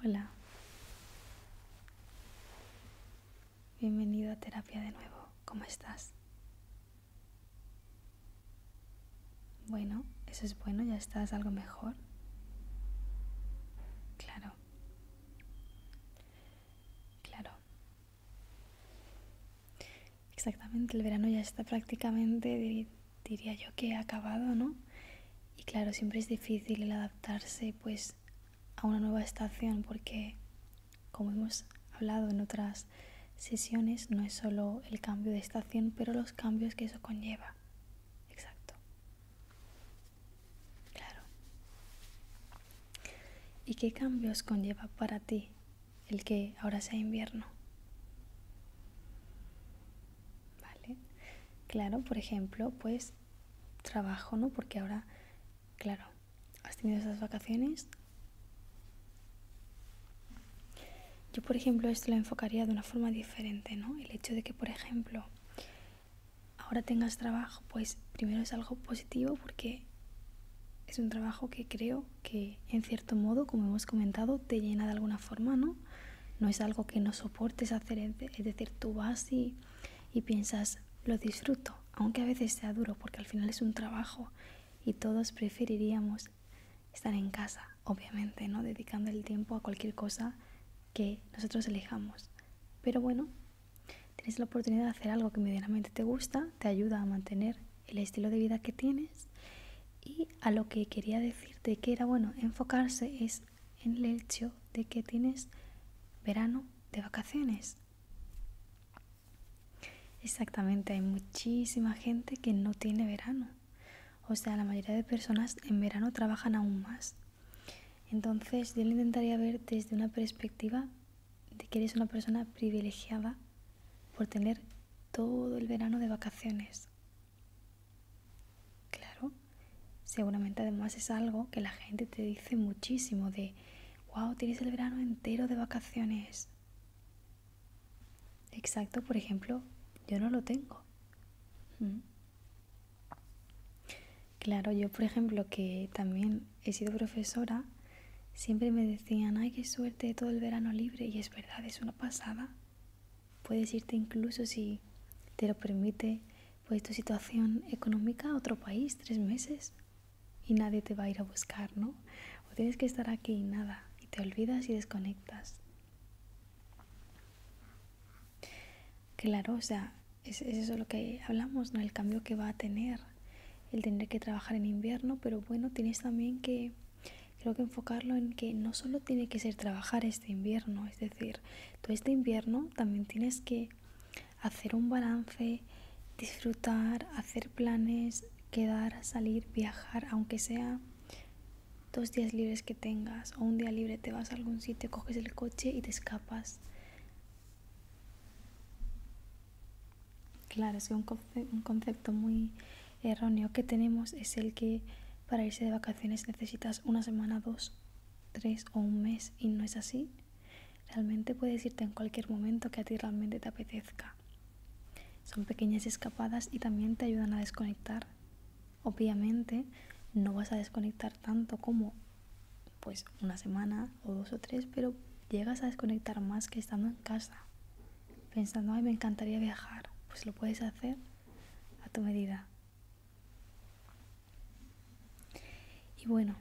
Hola. Bienvenido a terapia de nuevo. ¿Cómo estás? Bueno, eso es bueno, ya estás algo mejor. Claro. Claro. Exactamente, el verano ya está prácticamente, diría yo que acabado, ¿no? Y claro, siempre es difícil el adaptarse pues a una nueva estación porque, como hemos hablado en otras sesiones, no es solo el cambio de estación, pero los cambios que eso conlleva. Exacto. Claro. ¿Y qué cambios conlleva para ti el que ahora sea invierno. ¿Vale? Claro, por ejemplo, pues trabajo, ¿no? Porque ahora, claro, has tenido esas vacaciones. Yo, por ejemplo, esto lo enfocaría de una forma diferente, ¿no? El hecho de que, por ejemplo, ahora tengas trabajo, pues primero es algo positivo porque es un trabajo que creo que en cierto modo, como hemos comentado, te llena de alguna forma, ¿no? No es algo que no soportes hacer, es decir, tú vas y, y piensas, lo disfruto, aunque a veces sea duro, porque al final es un trabajo y todos preferiríamos estar en casa, obviamente, ¿no? Dedicando el tiempo a cualquier cosa que nosotros elijamos. Pero bueno, tienes la oportunidad de hacer algo que medianamente te gusta, te ayuda a mantener el estilo de vida que tienes. Y a lo que quería decirte que era bueno enfocarse es en el hecho de que tienes verano de vacaciones. Exactamente, hay muchísima gente que no tiene verano. O sea, la mayoría de personas en verano trabajan aún más. Entonces yo lo intentaría ver desde una perspectiva de que eres una persona privilegiada por tener todo el verano de vacaciones. Claro, seguramente además es algo que la gente te dice muchísimo de, wow, tienes el verano entero de vacaciones. Exacto, por ejemplo, yo no lo tengo. Mm. Claro, yo por ejemplo que también he sido profesora, siempre me decían, ay, qué suerte todo el verano libre. Y es verdad, es una pasada. Puedes irte incluso si te lo permite, pues tu situación económica a otro país tres meses y nadie te va a ir a buscar, ¿no? O tienes que estar aquí y nada, y te olvidas y desconectas. Claro, o sea, es eso lo que hablamos, ¿no? El cambio que va a tener, el tener que trabajar en invierno, pero bueno, tienes también que creo que enfocarlo en que no solo tiene que ser trabajar este invierno, es decir, todo este invierno también tienes que hacer un balance, disfrutar, hacer planes, quedar, salir, viajar, aunque sea dos días libres que tengas o un día libre te vas a algún sitio, coges el coche y te escapas. Claro, es que un, concepto muy erróneo que tenemos es el que para irse de vacaciones necesitas una semana, dos, tres o un mes y no es así. Realmente puedes irte en cualquier momento que a ti realmente te apetezca. Son pequeñas escapadas y también te ayudan a desconectar. Obviamente no vas a desconectar tanto como pues una semana o dos o tres, pero llegas a desconectar más que estando en casa pensando, ay, me encantaría viajar, pues lo puedes hacer a tu medida. Y bueno,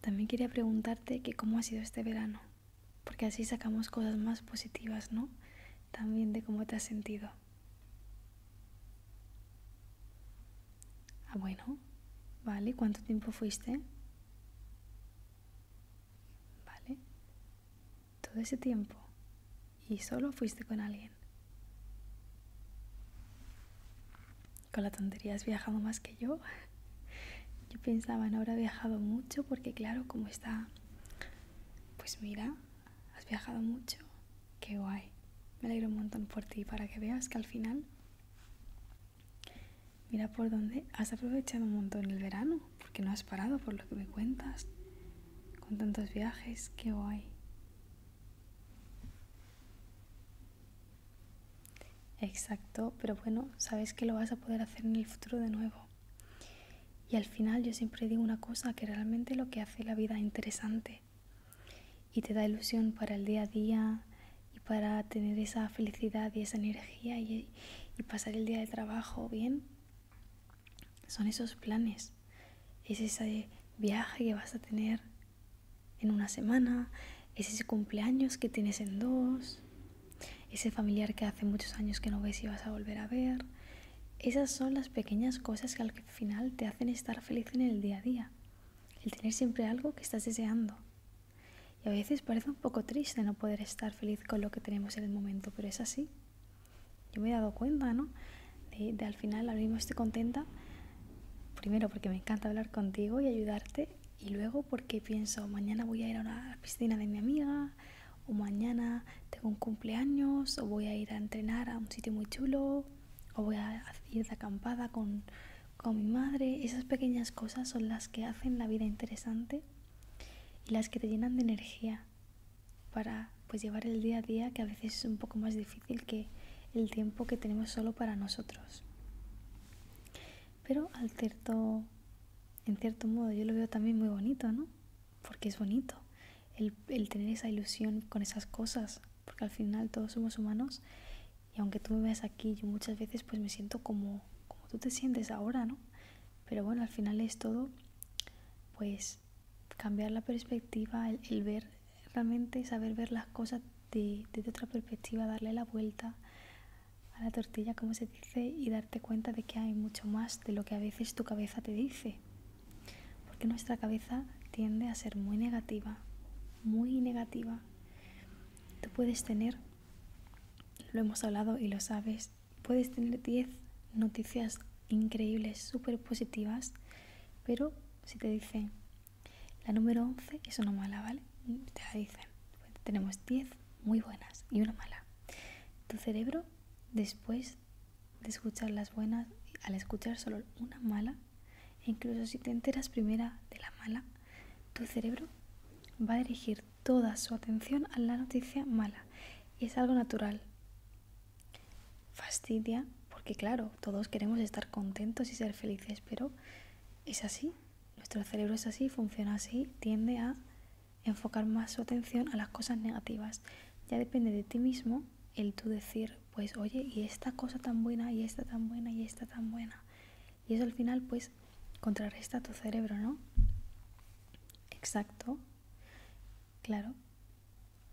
también quería preguntarte que cómo ha sido este verano, porque así sacamos cosas más positivas, ¿no? También de cómo te has sentido. Ah, bueno, vale, ¿cuánto tiempo fuiste? Vale todo ese tiempo y solo fuiste con alguien. Con la tontería has viajado más que yo. Yo pensaba, no habrá viajado mucho porque claro, como está... Pues mira, has viajado mucho. Qué guay. Me alegro un montón por ti para que veas que al final... Mira por dónde has aprovechado un montón el verano porque no has parado por lo que me cuentas, con tantos viajes, qué hoy Exacto, pero bueno, sabes que lo vas a poder hacer en el futuro de nuevo. Y al final yo siempre digo una cosa, que realmente lo que hace la vida interesante y te da ilusión para el día a día y para tener esa felicidad y esa energía y, y pasar el día de trabajo bien, son esos planes. Es ese viaje que vas a tener en una semana. ese cumpleaños que tienes en dos. Ese familiar que hace muchos años que no ves y vas a volver a ver. Esas son las pequeñas cosas que al final te hacen estar feliz en el día a día. El tener siempre algo que estás deseando. Y a veces parece un poco triste no poder estar feliz con lo que tenemos en el momento, pero es así. Yo me he dado cuenta, ¿no? De, al final, ahora mismo estoy contenta, primero porque me encanta hablar contigo y ayudarte, y luego porque pienso, mañana voy a ir a una piscina de mi amiga, o mañana tengo un cumpleaños, o voy a ir a entrenar a un sitio muy chulo, o voy a ir de acampada con mi madre. Esas pequeñas cosas son las que hacen la vida interesante y las que te llenan de energía para pues llevar el día a día que a veces es un poco más difícil que el tiempo que tenemos solo para nosotros. Pero al cierto, en cierto modo yo lo veo también muy bonito, ¿no? Porque es bonito el, el tener esa ilusión con esas cosas, porque al final todos somos humanos y aunque tú me veas aquí, yo muchas veces pues me siento como, como tú te sientes ahora, ¿no? Pero bueno, al final es todo, pues cambiar la perspectiva, el, ver realmente, saber ver las cosas de, desde otra perspectiva, darle la vuelta a la tortilla, como se dice, y darte cuenta de que hay mucho más de lo que a veces tu cabeza te dice. Porque nuestra cabeza tiende a ser muy negativa, muy negativa. Tú puedes tener, lo hemos hablado y lo sabes, puedes tener 10 noticias increíbles, súper positivas, pero si te dicen la número 11 es una mala, ¿vale? Te dicen. Pues tenemos 10 muy buenas y una mala. Tu cerebro, después de escuchar las buenas, al escuchar solo una mala, incluso si te enteras primera de la mala, tu cerebro va a dirigir toda su atención a la noticia mala y es algo natural. Fastidia, porque claro, todos queremos estar contentos y ser felices, pero es así, nuestro cerebro es así, funciona así, tiende a enfocar más su atención a las cosas negativas. Ya depende de ti mismo el tú decir, pues oye, y esta cosa tan buena, y esta tan buena, y esta tan buena. Y eso al final pues contrarresta tu cerebro, ¿no? Exacto. Claro.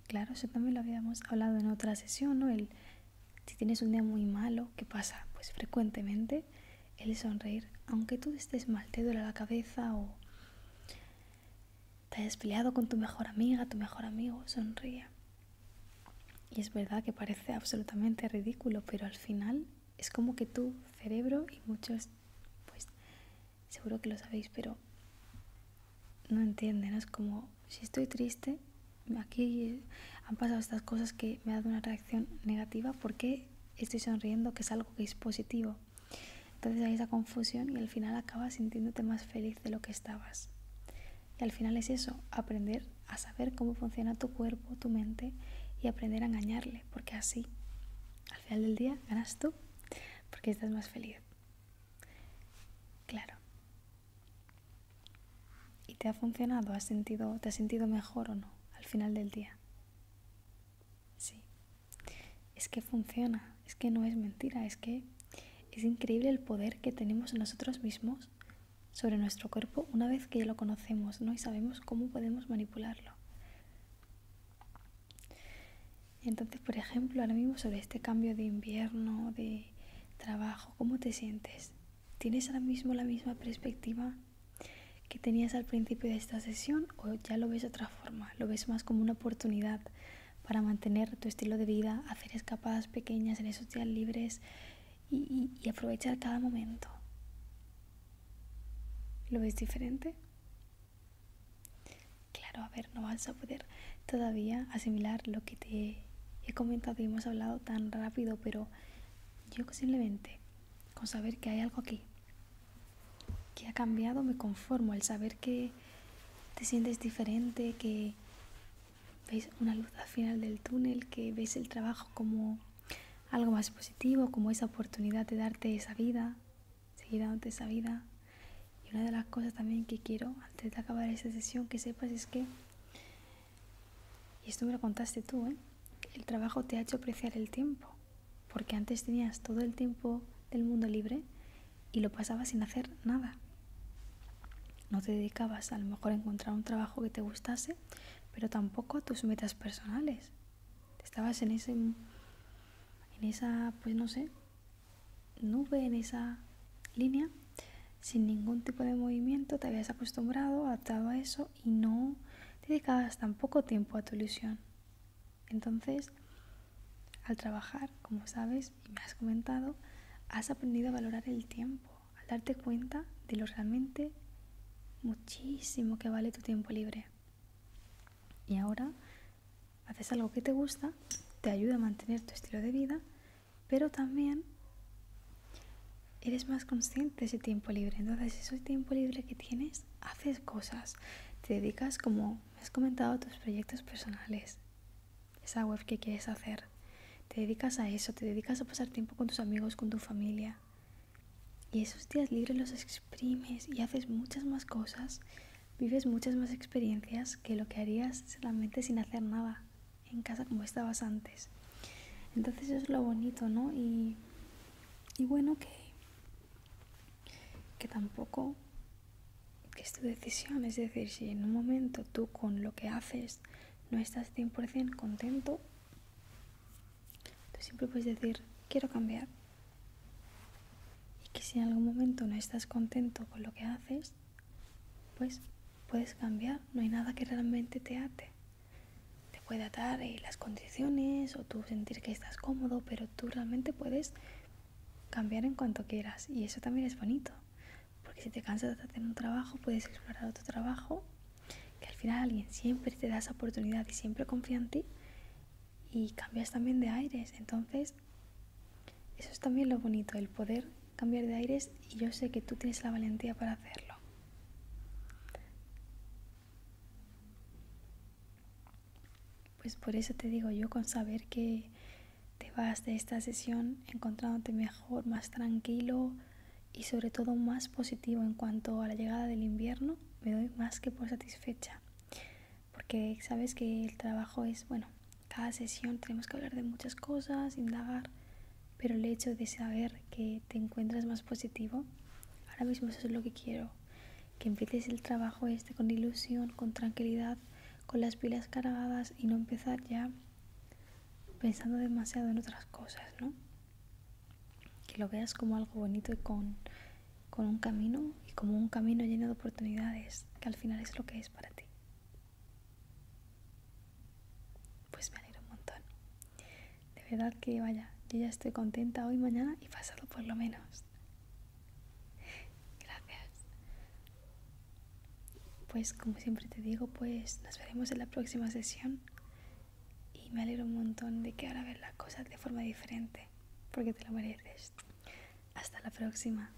Claro, eso también lo habíamos hablado en otra sesión, ¿no? El, si tienes un día muy malo, ¿qué pasa? Pues frecuentemente el sonreír, aunque tú estés mal, te duele la cabeza o te hayas peleado con tu mejor amiga, tu mejor amigo, sonríe. Y es verdad que parece absolutamente ridículo, pero al final es como que tu cerebro y muchos, pues seguro que lo sabéis, pero no entienden, es como si estoy triste, aquí eh, han pasado estas cosas que me dan una reacción negativa, ¿por qué estoy sonriendo que es algo que es positivo? Entonces hay esa confusión y al final acabas sintiéndote más feliz de lo que estabas. Y al final es eso, aprender a saber cómo funciona tu cuerpo, tu mente y aprender a engañarle, porque así al final del día ganas tú porque estás más feliz. Claro. ¿Y te ha funcionado? ¿Has sentido, ¿Te has sentido mejor o no al final del día? Sí. Es que funciona, es que no es mentira, es que es increíble el poder que tenemos nosotros mismos sobre nuestro cuerpo una vez que lo conocemos, ¿no? Y sabemos cómo podemos manipularlo. Entonces, por ejemplo, ahora mismo sobre este cambio de invierno, de trabajo, ¿cómo te sientes? ¿Tienes ahora mismo la misma perspectiva que tenías al principio de esta sesión o ya lo ves de otra forma? ¿Lo ves más como una oportunidad para mantener tu estilo de vida, hacer escapadas pequeñas en esos días libres y aprovechar cada momento? ¿Lo ves diferente? Claro, a ver, no vas a poder todavía asimilar lo que te he comentado y hemos hablado tan rápido, pero yo posiblemente con saber que hay algo aquí que ha cambiado me conformo, al saber que te sientes diferente, que ves una luz al final del túnel, que ves el trabajo como algo más positivo, como esa oportunidad de darte esa vida, seguir dándote esa vida. Y una de las cosas también que quiero, antes de acabar esta sesión, que sepas es que, y esto me lo contaste tú, ¿eh? el trabajo te ha hecho apreciar el tiempo, porque antes tenías todo el tiempo del mundo libre y lo pasabas sin hacer nada. No te dedicabas a lo mejor a encontrar un trabajo que te gustase, pero tampoco a tus metas personales. Estabas en ese en esa, pues no sé, nube, en esa línea, sin ningún tipo de movimiento, te habías acostumbrado, a a eso y no dedicabas tan poco tiempo a tu ilusión. Entonces, al trabajar, como sabes y me has comentado, has aprendido a valorar el tiempo, al darte cuenta de lo realmente muchísimo que vale tu tiempo libre. Y ahora haces algo que te gusta, te ayuda a mantener tu estilo de vida, pero también eres más consciente de ese tiempo libre. Entonces, ese tiempo libre que tienes, haces cosas. Te dedicas, como has comentado, a tus proyectos personales. Esa web que quieres hacer. Te dedicas a eso, te dedicas a pasar tiempo con tus amigos, con tu familia. Y esos días libres los exprimes y haces muchas más cosas, vives muchas más experiencias que lo que harías solamente sin hacer nada en casa como estabas antes. Entonces eso es lo bonito, ¿no? Y, y bueno, que, que tampoco es tu decisión. Es decir, si en un momento tú con lo que haces no estás 100% contento, tú siempre puedes decir, quiero cambiar, y que si en algún momento no estás contento con lo que haces, pues puedes cambiar, no hay nada que realmente te ate. Te puede atar eh, las condiciones o tú sentir que estás cómodo, pero tú realmente puedes cambiar en cuanto quieras y eso también es bonito, porque si te cansas de hacer un trabajo, puedes explorar otro trabajo, que al final alguien siempre te da esa oportunidad y siempre confía en ti y cambias también de aires. Entonces, eso es también lo bonito, el poder cambiar de aires y yo sé que tú tienes la valentía para hacerlo. Pues por eso te digo yo, con saber que te vas de esta sesión encontrándote mejor, más tranquilo y sobre todo más positivo en cuanto a la llegada del invierno, me doy más que por satisfecha porque sabes que el trabajo es, bueno, cada sesión tenemos que hablar de muchas cosas, indagar, pero el hecho de saber que te encuentras más positivo, ahora mismo eso es lo que quiero, que empieces el trabajo este con ilusión, con tranquilidad, con las pilas cargadas y no empezar ya pensando demasiado en otras cosas, ¿no? que lo veas como algo bonito y con, un camino y como un camino lleno de oportunidades, que al final es lo que es para ti. Pues me alegro un montón. De verdad que vaya, yo ya estoy contenta hoy, mañana y pasado por lo menos. Gracias. Pues como siempre te digo, pues nos veremos en la próxima sesión y me alegro un montón de que ahora veas las cosas de forma diferente porque te lo mereces. Hasta la próxima.